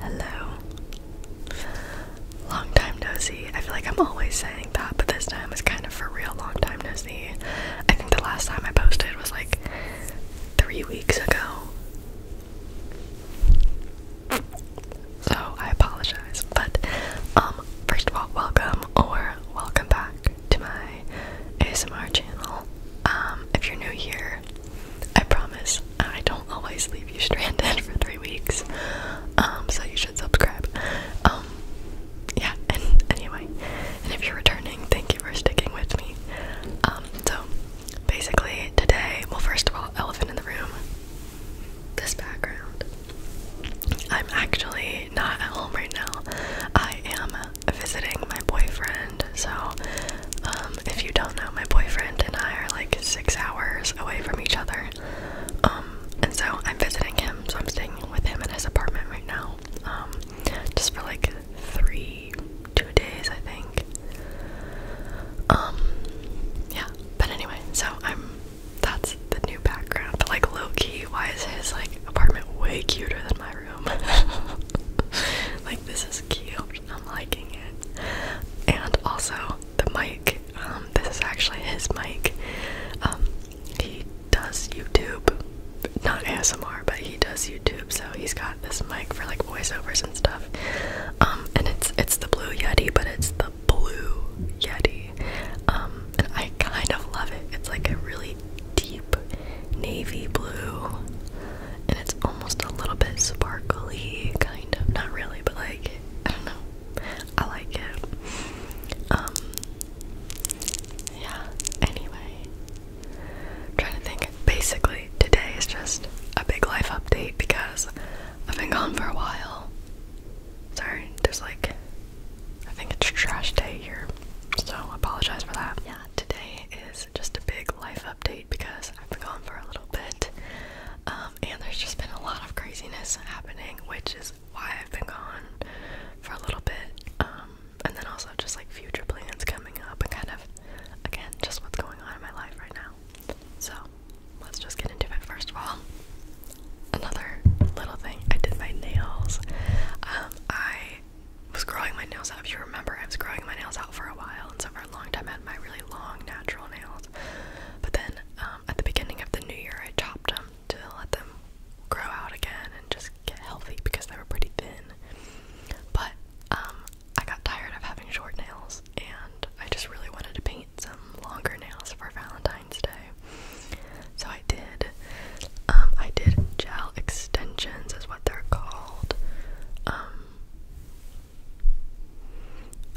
Hello. Long time no I feel like I'm always saying that, but this time is kind of for real long time no I think the last time I posted was like three weeks ago. So I apologize. But um first of all, welcome or welcome back to my ASMR channel. Um, if you're new here, I promise I don't always leave you stranded for three weeks. Um, so you should subscribe. Um, yeah, and anyway, and if you're returning, thank you for sticking with me. Um, so basically today, well, first of all, elephant in the room. This background. I'm actually not at home right now. I am visiting my boyfriend so, um, if you don't know, my boyfriend and I are like six hours away from each other. Um, and so I'm visiting him, so I'm staying with him in his apartment right now. Um, just for like three, two days, I think. yeah. But anyway, so I'm. That's the new background. But like low key, why is his like apartment way cuter than my room? like this is cute. I'm liking it. And also the mic. Um, this is actually his mic. Um, he does YouTube, not ASMR, but he does YouTube. So he's got this mic for like voiceovers and stuff. Um, and it's it's the Blue Yeti, but it's the Blue Yeti. and I kind of love it. It's like a really deep navy blue and it's almost a little bit sparkly, kind of. Not really, but like, I don't know. I like it. Um, yeah, anyway. trying to think. Basically, today is just a big life update because I've been gone for a while. Sorry, there's like, I think it's trash day here, so apologize for that. Yeah, today is just a big life update because I've been gone for a little bit. Um, and there's just been a lot of craziness happening, which is why I've been gone for a little bit. Um, and then also just like future plans coming up and kind of, again, just what's going on in my life right now. So let's just get into it. First of all, another little thing I did my nails. Um, I was growing my nails out. If you remember, I was growing my nails out for a while, and so long time I had my really long natural nails. But then um, at the beginning of the new year, I chopped them to let them grow out again and just get healthy because they were pretty thin. But um, I got tired of having short nails and I just really wanted to paint some longer nails for Valentine's Day. So I did. Um, I did gel extensions, is what they're called.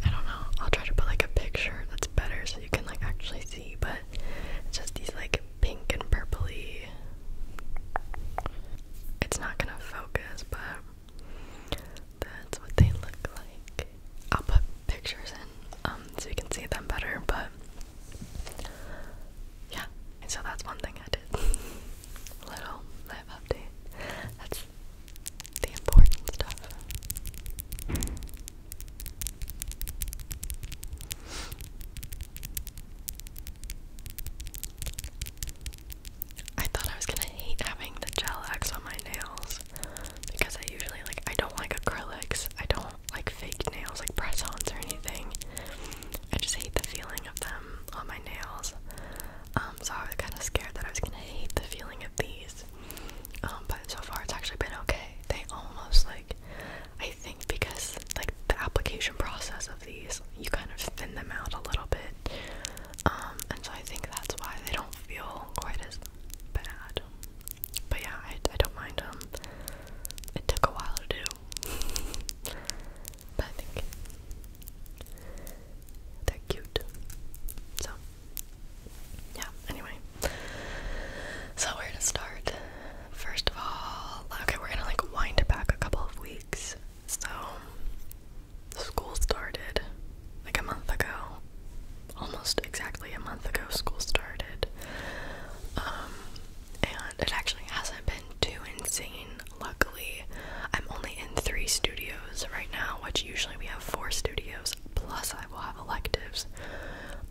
I don't know. I'll try to put like a picture that's better so you can like actually see, but it's just these like pink and purpley. It's not gonna focus, but that's what they look like. I'll put pictures in um, so you can see them better, but yeah, so that's one thing I did. little live update. That's the important stuff. I thought I was gonna hate having the gel X on my nails because I usually like I don't like acrylics. I don't like fake nails like press-ons or anything. I just hate the feeling of them on my nails. Um, so I was kind of scared that I was gonna hate the feeling of these. Um, but so far it's actually been okay. They almost like, I think because like the application process of these, you kind of thin them out a little bit. Um, and so I think that's why they don't feel quite as bad. But yeah, I, I don't mind them. Um, it took a while to do. but I think they're cute. So yeah, anyway. So where to start? First of all, okay, we're gonna like wind back a couple of weeks. So school started like a month ago. Almost exactly a month ago school started. Um, and it actually hasn't been too insane Luckily, I'm only in three studios right now, which usually we have four studios, plus I will have electives.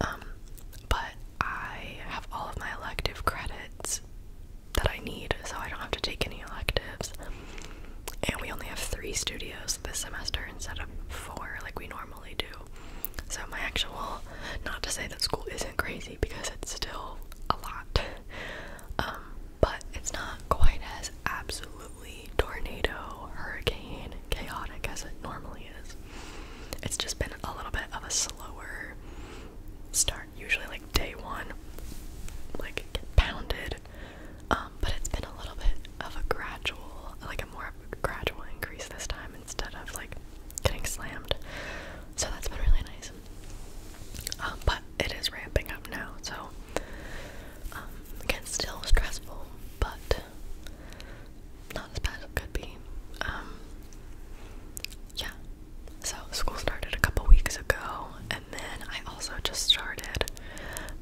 Um, but I have all of my elective credits that I need, so I don't have to take any electives. And we only have three studios this semester instead of four like we normally do. So, my actual, not to say that school isn't crazy because it's still a lot. Um, but it's not quite as absolutely tornado, hurricane, chaotic as it normally is. It's just been a little bit of a slower start, usually like day one, like get pounded. Um, but it's been a little bit of a gradual, like a more gradual increase this time instead of like getting slammed. So that's been really nice. Um, but it is ramping up now, so um, still stressful, but not as bad as could be. Um, yeah. So school started a couple weeks ago, and then I also just started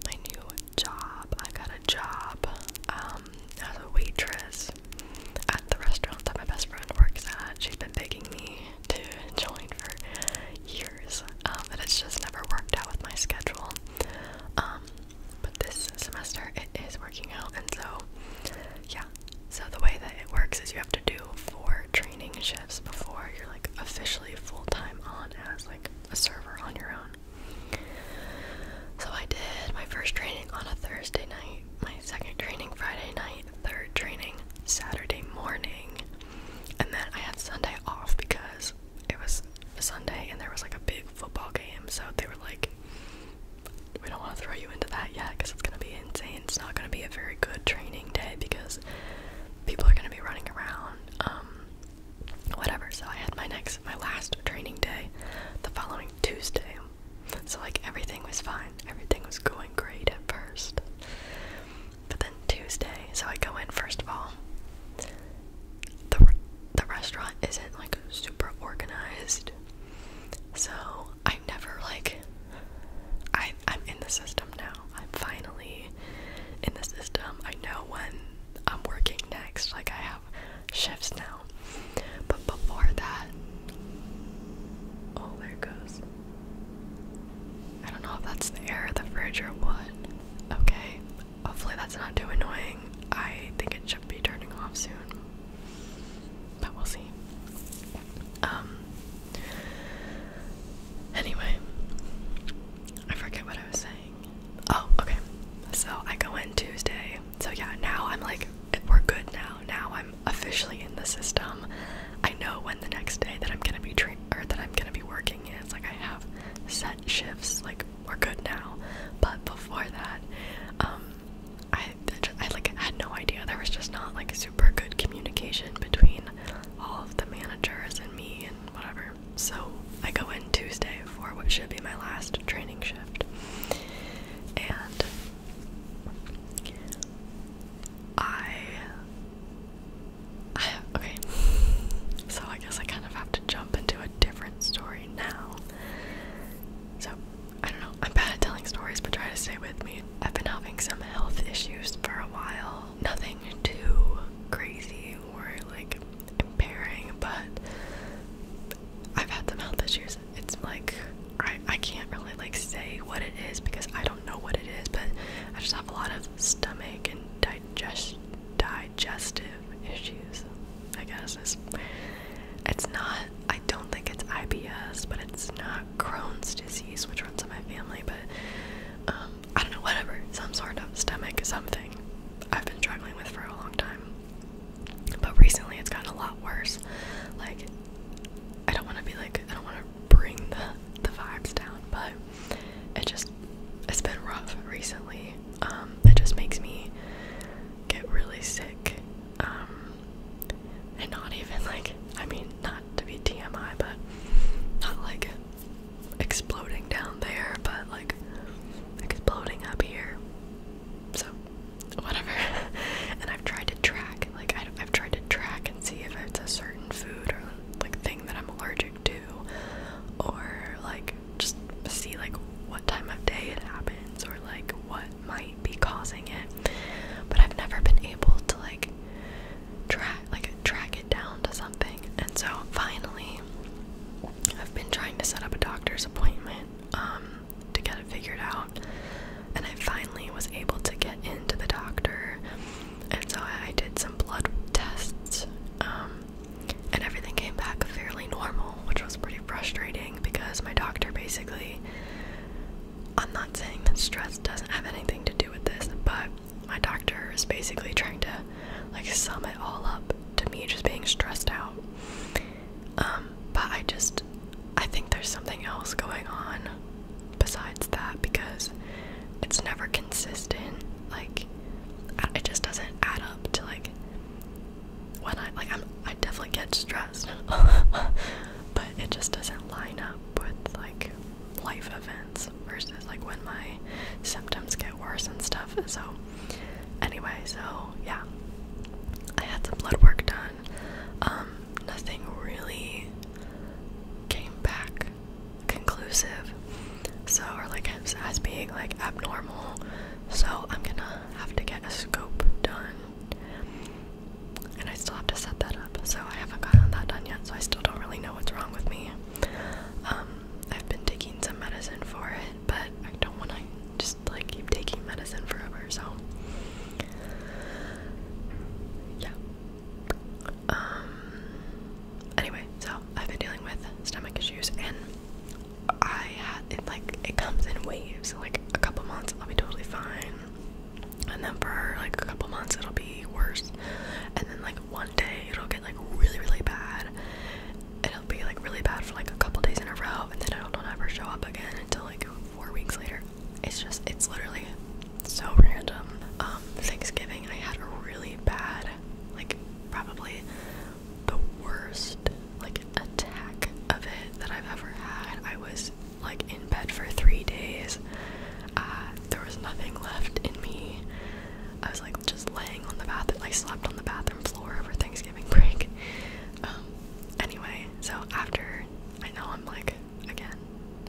my new job. I got a job um, as a waitress at the restaurant that my best friend works at. She's been begging me to join for years, um, but it's just never worked out with my schedule. Um, but this semester it is working out, and so yeah. So the way that it works is you have to do four training shifts before you're like officially full time on as like a server on your own. So I did my first training on a Thursday night, my second training Friday night, third training Saturday morning, and then I had Sunday off because it was Sunday and there was like a big football game, so they were like, we don't want to throw you into that yet because it's going to be insane. It's not going to be a very good training day because people are going to be running around, um, whatever. So I had my next, my last training day the following Tuesday. So, like, everything was fine. Everything was going great at first but then Tuesday, so I go in first of all. The the restaurant isn't like super organized. So, I never like I I'm in the system now. I'm finally in the system. I know when I'm working next. Like I have shifts now. But before that, oh there goes. I don't know if that's the air of the fridge or what. Okay, hopefully that's not too annoying. I think it should be turning off soon, but we'll see. Um. Anyway, I forget what I was saying. Oh, okay. So I go in Tuesday. So yeah, now I'm like, we're good now. Now I'm officially in the system. I know when the next day that I'm gonna be treated or that I'm gonna be working in. It's like I have set shifts, like we're good now. But before that, um, I I like had no idea. There was just not like super good communication between all of the managers and me and whatever. So I go in Tuesday for what should be my last training shift, and I I, okay, so I guess I kind of have to jump into a different story now. So, I don't know, I'm bad at telling stories, but try to stay with me. I've been having some health issues for a while. Nothing too crazy or like impairing, but I've had some health issues. It's like I I can't really like say what it is because I don't know what it is, but I just have a lot of stomach and digest digestive issues. I guess is it's not. I don't think it's IBS, but it's not Crohn's disease, which runs in my family. But um, I don't know. Whatever, some sort of stomach something. I've been struggling with for a long time, but recently it's gotten a lot worse. Like I don't want to be like I don't want to bring the, the vibes down, but it just it's been rough recently. Um, that just makes me get really sick. Um, and not even like I mean not to be TMI, but not like exploding down there, but like exploding up here. So whatever. and I've tried to track, like I've tried to track and see if it's a certain food or like thing that I'm allergic to or like just see like what time of day it happens or like what might be causing it. But I've never been able to like track like track it down to something. And so finally I've been trying to set up a doctor's appointment um to get it figured out. And I finally was able to get into the doctor and so I did some blood tests, um, and everything came back fairly normal, which was pretty frustrating because my doctor basically. I'm not saying that stress doesn't have anything to do with this, but my doctor is basically trying to like sum it all up to me just being stressed out. Um, but I just I think there's something else going on besides that because it's never consistent. Like it just doesn't add up to like when I like I'm definitely get stressed, but it just doesn't line up with like life events versus like when my symptoms get worse and stuff. So anyway, so yeah. I had some blood work done. Um, nothing really came back conclusive so or like as, being like abnormal so i'm gonna have to get a scope done and i still have to set that up so i haven't gotten that done yet so i still don't really know what's wrong with me um i've been taking some medicine for it but i don't want to just like keep taking medicine forever so yeah um, anyway, so I've been dealing with stomach issues, and I had it like it comes in waves. Like a couple months, I'll be totally fine, and then for like a couple months, it'll be worse, and then like one day, it'll get like really, really bad. It'll be like really bad for like a couple days in a row, and then it'll not ever show up again until like four weeks later. It's just, it's literally so random. Um, Thanksgiving, I had a really bad, like, probably the worst, like, attack of it that I've ever had. I was, like, in bed for three days. Uh, there was nothing left in me. I was, like, just laying on the bathroom. I slept on the bathroom floor over Thanksgiving break. Um, anyway, so after, I know I'm, like, again,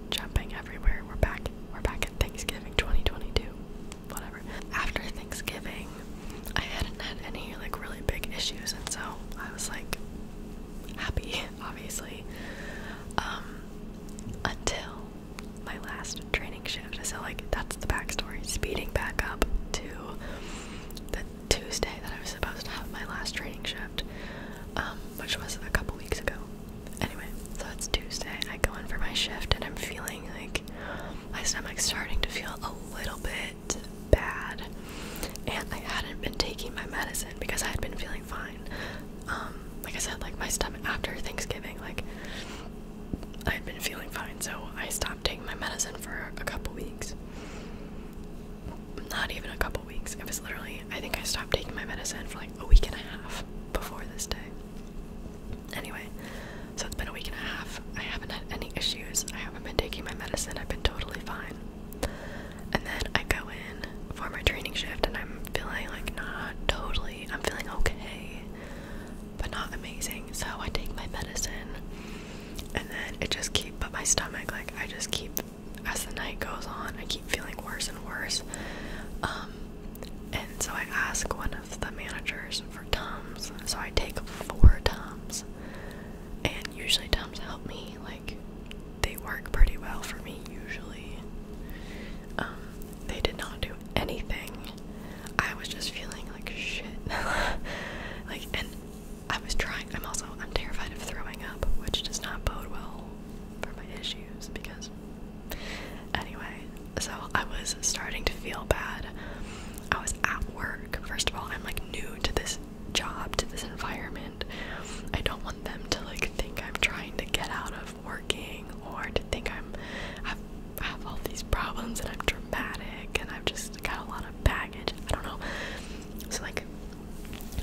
jumping everywhere. We're back. We're back at Thanksgiving 2022. Whatever. After Thanksgiving, I hadn't had any like really big issues, and so I was like happy, obviously. Um, until my last training shift. So like that's the backstory. Speeding back up to the Tuesday that I was supposed to have my last training shift, um, which was a couple weeks ago anyway, so it's Tuesday. I go in for my shift and I'm feeling like my stomach's starting to feel a little bit bad. And I hadn't been taking my medicine because I had been feeling fine. Um, like I said, like my stomach after Thanksgiving, like I had been feeling fine, so I stopped taking my medicine for a couple weeks. Not even a couple weeks. It was literally, I think I stopped taking my medicine for like a week and a half before this day. Anyway, so it's been a week and a half. I haven't had any issues. I haven't been taking my medicine. I've been totally fine. And then I go in for my training shift and I'm feeling like not totally, I'm feeling okay, but not amazing. So I take my medicine and then it just keep but my stomach like I just keep as the night goes on, I keep feeling worse and worse. Um and so I ask one of the managers for Tums. So I take four Tums. And usually Tums help me. Like, they work pretty well for me, usually. Um, they did not do anything. I was just feeling like shit. like, and I was trying. I'm also, I'm terrified of throwing up, which does not bode well for my issues because Anyway, so I was starting to feel bad. I was at work. First of all, I'm like new to this job, to this environment. I don't want them to like think I'm trying to get out of working or to think I'm I've, have all these problems and I'm dramatic and I've just got a lot of baggage. I don't know. So like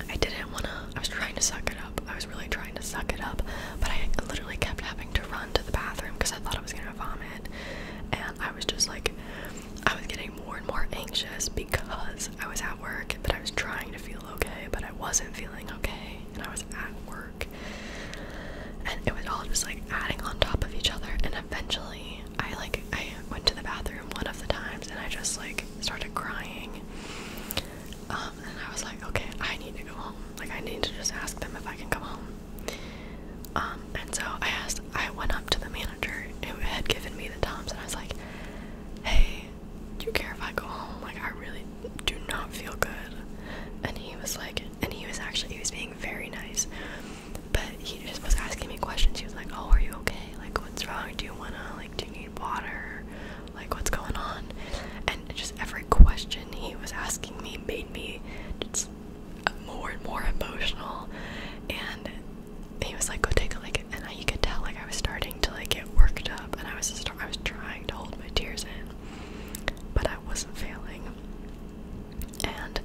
I didn't want to I was trying to suck it up. I was really trying to suck it up, but I literally kept having to run to the bathroom because I thought I was gonna vomit. And I was just like, I was getting more and more anxious because I was at work, but I was trying to feel okay, but I wasn't feeling okay, and I was at work. And it was all just like adding on top of each other. And eventually, I like, I went to the bathroom one of the times and I just like started crying. Um, and I was like, okay, I need to go home. Like, I need to just ask them if I can come home. Um, and so I asked, I went up to the manager who had given me the Toms, and I was like, hey, do you care if I go home? Like, I really do not feel good. And he was like, and he was actually, he was being very nice, but he just was asking me questions. He was like, oh, are you okay? Like, what's wrong? Do you wanna, like, do you need water? like what's going on and just every question he was asking me made me just more and more emotional and he was like go take a like and I, you could tell like I was starting to like get worked up and I was just I was trying to hold my tears in but I wasn't failing and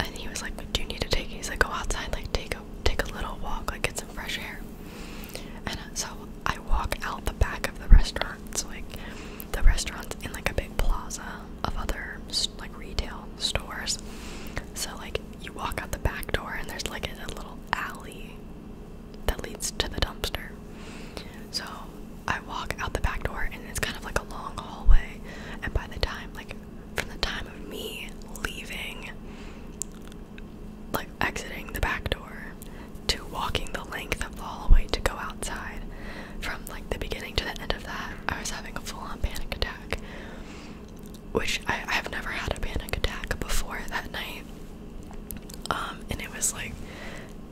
and he was like do you need to take he's like go outside like take a take a little walk like get some fresh air and so I walk out the back of the restaurant restaurants, like the restaurants in like a big plaza of other like retail stores. So like you walk out the back door and there's like a little alley that leads to the dumpster. So I walk out the back door and it's kind of like a long hallway and by the time like from the time of me leaving like exiting the back door to walking the length of the hallway to go outside. From like the beginning to the end of that, I was having a full on panic attack. Which I, I've never had a panic attack before that night. Um, and it was like,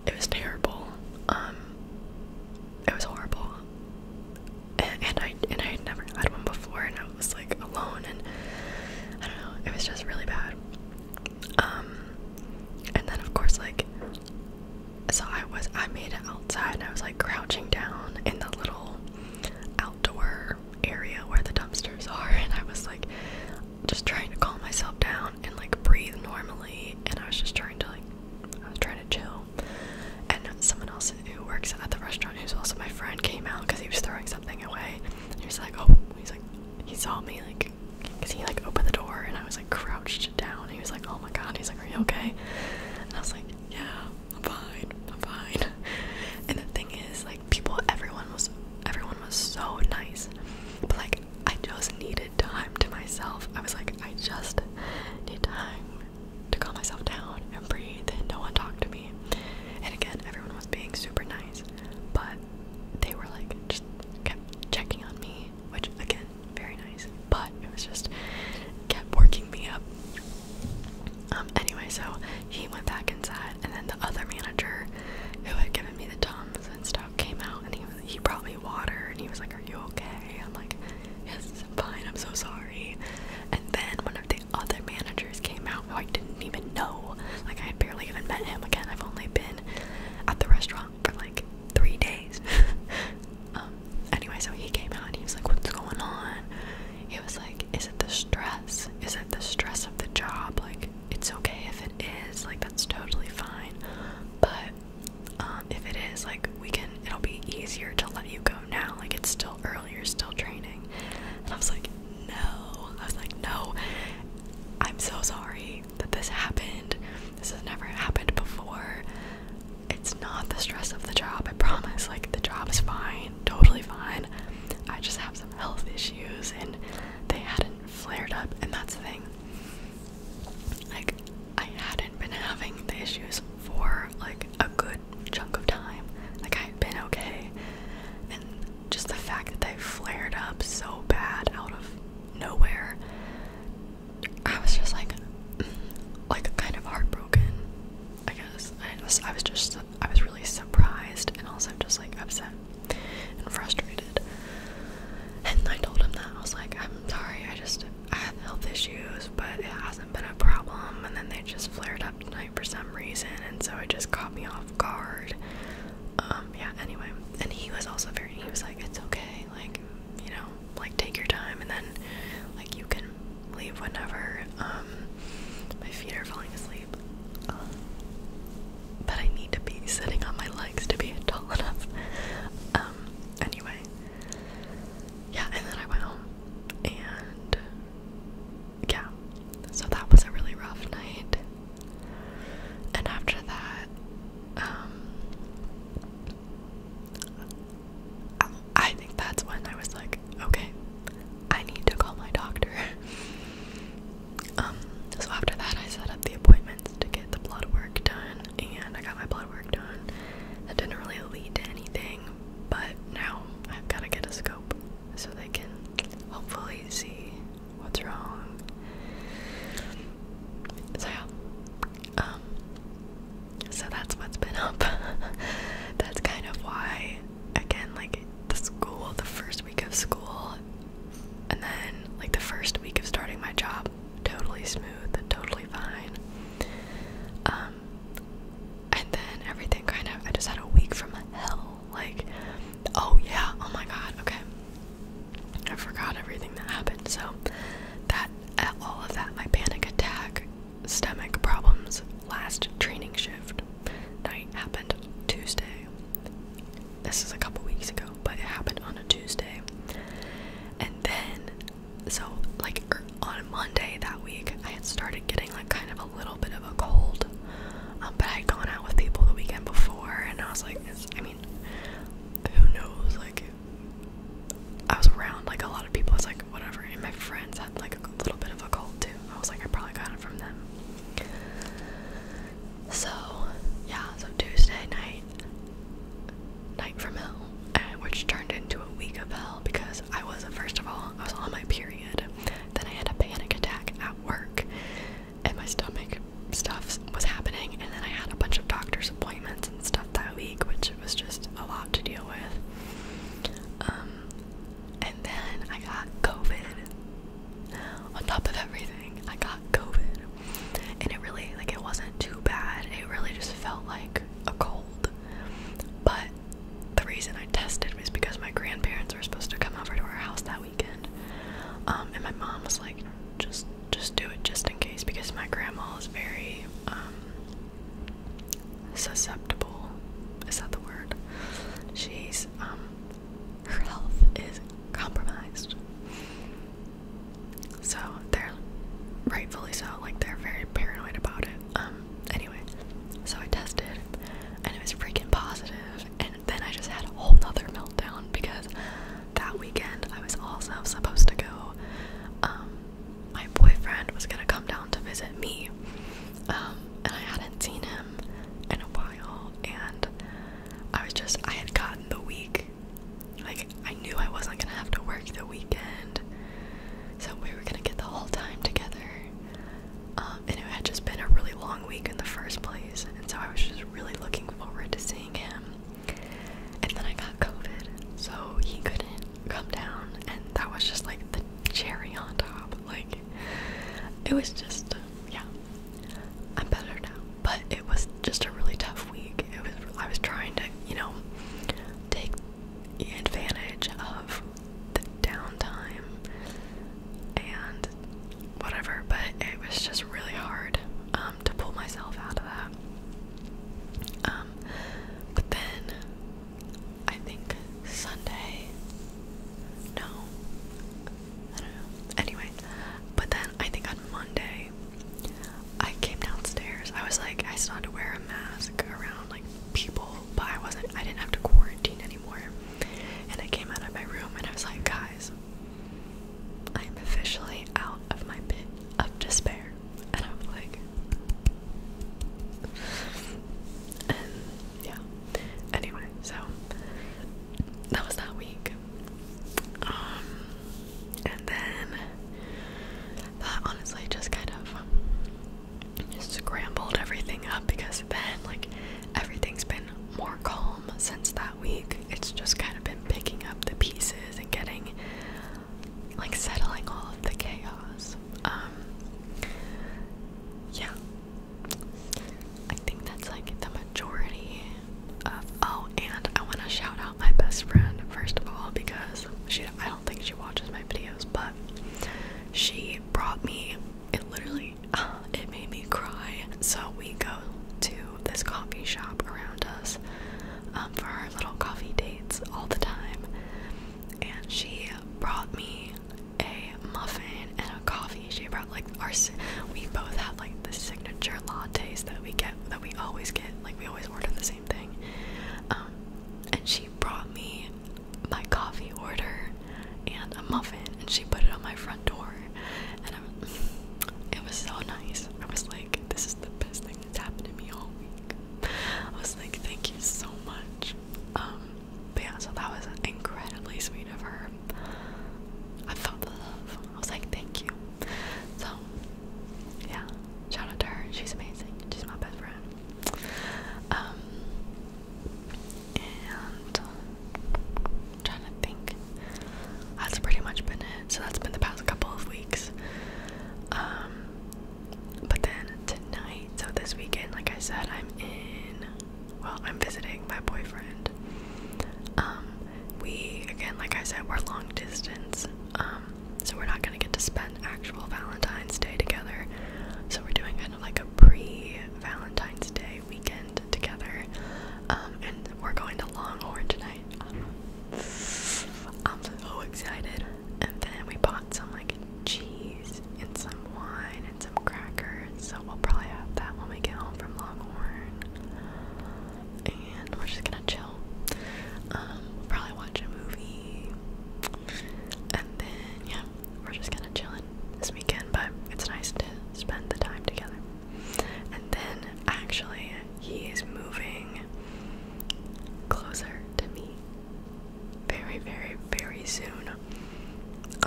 it was terrible. Um, it was horrible. And, and I and I had never had one before, and I was like alone, and I don't know, it was just really bad. Um, and then of course, like, so I was, I made it outside, and I was like crouching down in the little outdoor area where the dumpsters are, and I was like just trying to calm myself down and like breathe normally, and I was just trying to like, I was trying to chill. And someone else who works at the restaurant, who's also my friend, came out because he was throwing something away. And he was like, "Oh," he's like, he saw me like cause he like opened the door and I was like crouched down. He was like, oh my god. He's like, are you okay? And I was like, yeah, I'm fine. I'm fine. And the thing is, like, people, everyone was, everyone was so nice, but like, I just needed time to myself. I was like, I just need time to calm myself down and breathe and no one talked to me. And again, everyone was being super nice, but they were like just kept checking on me, which again, very nice, but it was just kept working me up. Um, anyway, so he went back inside, and then the other manager who had given me the Tums and stuff came out, and he he brought me water, and he was like, "Are you okay?" I'm like, "Yes, I'm fine. I'm so sorry." And then one of the other managers came out I didn't even know. Like I had barely even met him. Again, I've only been at the restaurant for like three days. Um, anyway, so he came out and he was like, What's going on? He was like, Is it the stress? Is it the stress of the job? Like, it's okay if it is, like, that's totally fine. But um, if it is, like, we can, it'll be easier to let you go now. Like, it's still early, you're still training. And I was like, No. I was like, No, I'm so sorry that this happened. This has never happened before. It's not the stress of the job, I promise. Like, the job is fine, totally fine. I just have some health issues and they hadn't flared up, and that's the thing. Like, I hadn't been having the issues for like a good chunk of time. Like, i have been okay. And just the fact that they have flared up so bad out of nowhere. I was just like, like kind of heartbroken. I guess I was. I was just. I was really surprised and also just like upset and frustrated. And I told him that I was like, I'm sorry. I just I have health issues, but it hasn't been a problem. And then they just flared up tonight for some reason, and so it just caught me off guard. Um, yeah, anyway. And he was also very he was like, It's okay, like, you know, like take your time and then like you can leave whenever. Um my feet are falling asleep. Uh, but I need to be sitting on my legs to be tall enough. Um, anyway. Yeah, and then I went home and yeah. So that was a really rough night. And after that, um, I think that's when I was like, okay, I need to call my doctor. Um, so after that, I set up the appointments to get the blood work done, and I got my blood work done. That didn't really lead to anything, but now I've got to get a scope so they can hopefully see what's wrong. So yeah, um, so that's what's been up. that's kind of why, again, like the school, the first week of school, and then like the first week of starting my job, totally smooth totally fine. Um, and then everything kind of, I just had a week from hell. Like, Oh, yeah. Oh my god. Okay. I forgot everything that happened. So, that, uh, all of that, my panic attack, stomach problems, last training shift night happened Tuesday. This is a couple weeks ago, but it happened on a Tuesday. And then, so, like, er, on Monday that week, I had started getting, like, kind of a little bit of a cold. Um, but I had gone out with people the weekend before, and I was like, I mean who knows? Like, I was around like a lot of people. It's like whatever. And my friends had like a little bit of a cold too. I was like, I probably got it from them. So yeah, so Tuesday night, night from hell, uh, which turned into a week of hell because I was first of all I was on my period. Then I had a panic attack at work and my stomach stuff was happening, and then I had a bunch of doctor's appointments and stuff that week, which was just a lot to deal with. Um, and then I got COVID. On top of everything, I got COVID, and it really like it wasn't too bad. It really just felt like a cold, but the reason I tested was because my grandparents were supposed to come over to our house that weekend. Um, and my mom was like, just just do it just in case because my grandma is very um, susceptible. Is that the word? She's um, her health is compromised. So they're rightfully so, like they're very paranoid about it. Um, anyway, so I tested and it was freaking positive, positive and then I just had a whole nother meltdown because that weekend I was also supposed to go. Um, my boyfriend was gonna come down to visit me, um, and I hadn't seen him in a while, and I was just I had gotten the week. Like I knew I wasn't gonna have to work the weekend, so we were gonna get the whole time together. Um, and it had just been a really long week in the first place, and so I was just really looking forward to seeing him and then I got COVID, so he couldn't come down, and that was just like the cherry on top. Like, it was just, yeah, I'm better now, but it was just a really tough week. It was, I was trying to, you know, take advantage of the downtime and whatever, but it was just really hard. Um, um, to pull myself out of that. Um, but then I think Sunday. No, I don't know. Anyway, but then I think on Monday I came downstairs. I was like, I started to wear a mask around like people, but I wasn't. I didn't have to quarantine anymore. And I came out of my room and I was like, guys, I'm officially out of my pit of despair. And I'm like And yeah. Anyway, so that was that week. Um and then that honestly just kind of just scrambled everything up because then like everything's been more calm since that week. It's just kind of been picking up the pieces and getting like settling all of the chaos. Um, yeah. I think that's like the majority of oh and I wanna shout out my best friend first of all because she I don't think she watches my videos but she brought me it literally it made me cry. So we go to this coffee shop around us um, for our little coffee dates all the time. And she brought me a muffin and a coffee. She brought like our we both have like the signature lattes that we get that we always get. Like we always order the same thing. Um, and she brought me my coffee order and a muffin, and she put it on my front door and i it was so nice. I was like, this is the best thing that's happened to me all week. I was like, thank you so much. Um, but yeah, so that was incredibly sweet of her. I felt the love. I was like, thank you. So, yeah, shout out to her. She's amazing. She's my best friend. Um, and trying to think. That's pretty much been it. So that's been the past couple of weeks. Um, but then tonight, so this weekend, like I said, I'm in. Well, I'm visiting my boyfriend. Um, we again, like I said, we're long distance. Um, so we're not gonna get to spend actual Valentine's Day together. So we're doing kind of like a pre Valentine's Day weekend together. Um, and we're going to Longhorn tonight. Um, I'm so excited. And then we bought some like cheese and some wine and some crackers. So we'll probably have that when we get home from Longhorn. And we're just gonna chill. Um, we'll probably watch a movie. And then yeah, we're just gonna chillin' this weekend, but it's nice to spend the time together. And then actually, he is moving closer to me very, very, very soon.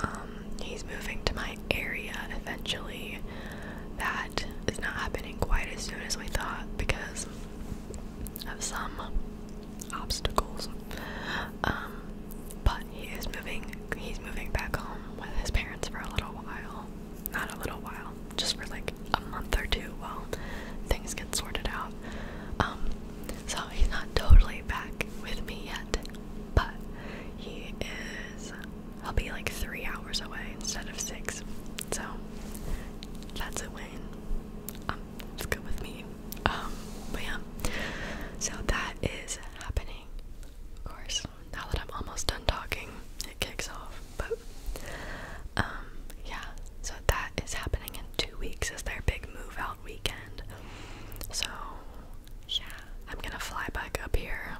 Um, he's moving to my area eventually. That is not happening quite as soon as we thought because of some obstacles. Um, but he is moving. He's moving back home with his parents for a little while not a little while, just for like a month or two while things get sorted out. Um, so he's not totally back with me yet, but he is, he will be like three hours away instead of six. So that's a win. Um, it's good with me. Um, but yeah, so that is happening, of course now that I'm almost done talking, it kicks off. But um, yeah, so that is happening in two weeks. Is their big move out weekend? So yeah, I'm gonna fly back up here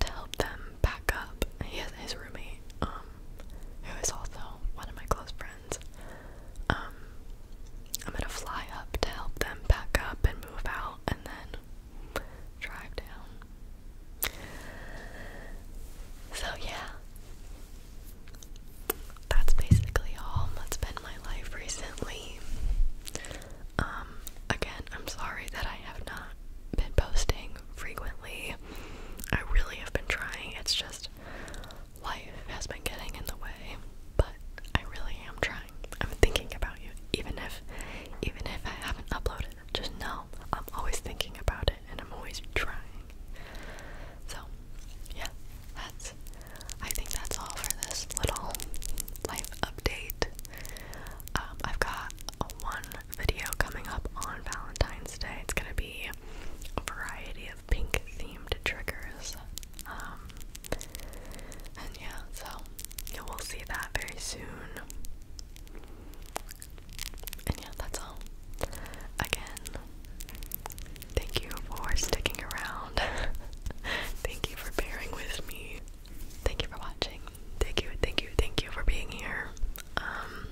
to help them pack up. He has his roommate, um, who is also one of my close friends. Um, I'm gonna fly up to help them pack up and move out, and then drive down. So, yeah, that's basically all that's been my life recently. Um, again, I'm sorry that I have not been posting frequently. I really have been trying, it's just life has been getting in the way, but I really am trying. I'm thinking about you, even if even if I haven't uploaded just know I'm always thinking about it and I'm always trying. So, yeah, that's, I think that's all for this little life update. Um, I've got one video coming up on Valentine's Day. It's gonna be a variety of pink themed triggers. Um, and yeah, so you will see that very soon. And yeah, that's all. Again, thank you for sticking around. thank you for bearing with me. Thank you for watching. Thank you, thank you, thank you for being here. Um,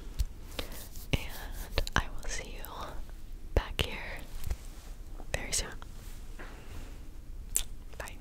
and I will see you back here very soon. Bye.